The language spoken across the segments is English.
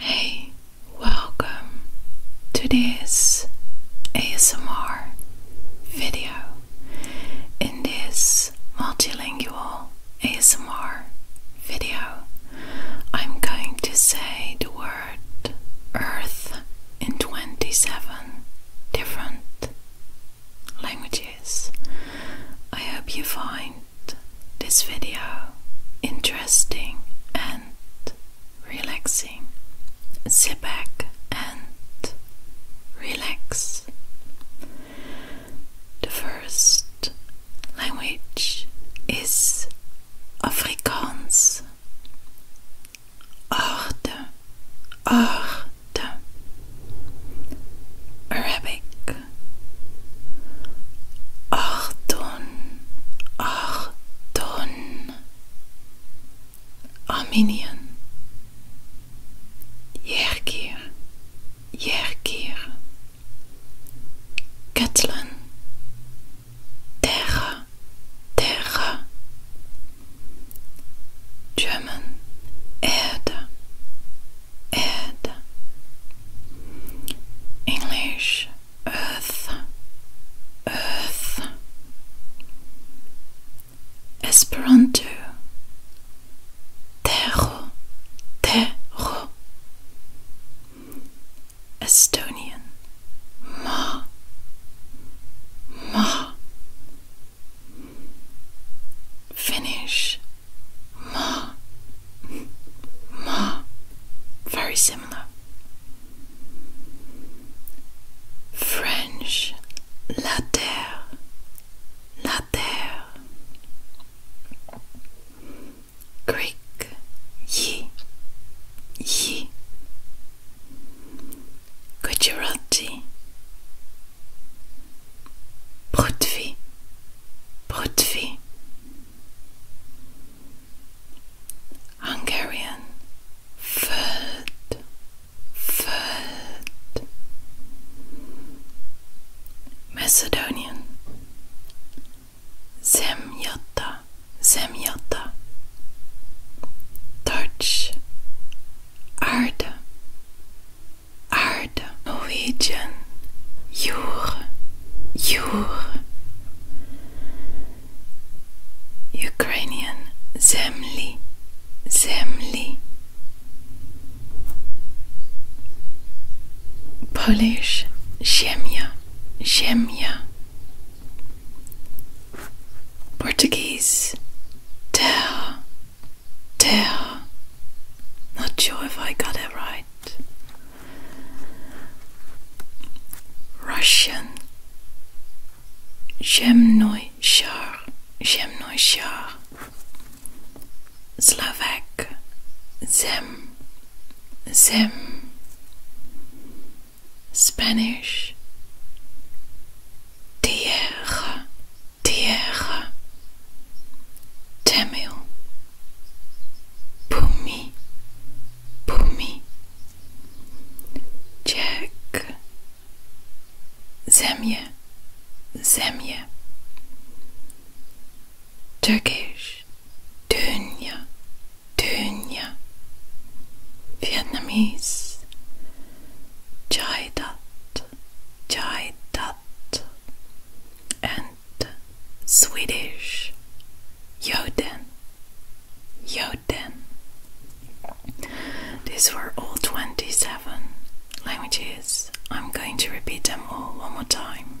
Hey, welcome to this ASMR video. In this multilingual ASMR video, I'm going to say the word earth in 27 different languages. I hope you find this video interesting and relaxing, sit back and relax. The first language is Afrikaans. Orde, orde. Arabic, Ardon, Ardon, Armenien. Yerkir, Yerkir. Catalan. Terra, Terra. German, Erde, Ed English Earth Earth Esperanto Terro Terro Estonian Ma Ma Finish, ma ma very similar French la terre la terre Greek ye ye Gujarati, Prithvi, Prithvi, Hungarian, Ferd, Ferd, Macedonian, Zemyata, Semyotta Dutch Aarde Aarde Norwegian Jure Jure Ukrainian Zemli Zemli Polish Ziemia Ziemia Portuguese. Terra. Terra. Not sure if I got it right. Russian. Zemnoy Shar. Zemnoy Shar. Slovak. Zem. Zem. Spanish Tierra Tierra Tamil Pumi Pumi Czech Zemia Zemia Turkish, Dunya, Dunya. Vietnamese, Chai Dat, Chai Dat. And Swedish, Yoden, Yoden. These were all 27 languages. I'm going to repeat them all one more time.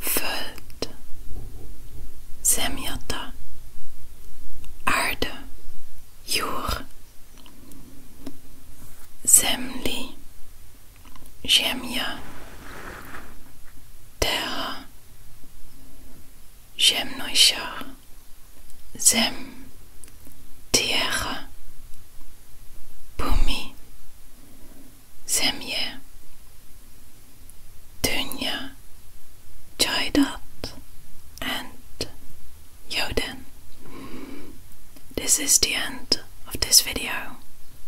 Föld, zemjata, ARDE jur, zemli, Jemia terra, ziemnoishar, zem, tierra, bumi, Zemje Dunya Jaidat and Yoden. This is the end of this video.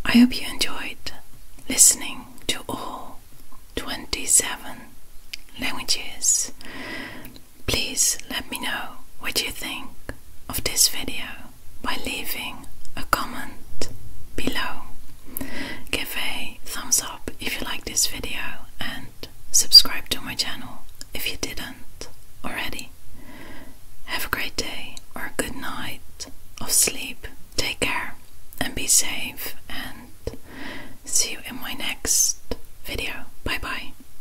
I hope you enjoyed listening to all 27 languages. Please let me know what you think of this video by leaving a comment below. Give a thumbs up if you like this video and subscribe to my channel if you didn't already. Have a great day or a good night of sleep. Take care and be safe and see you in my next video. Bye bye.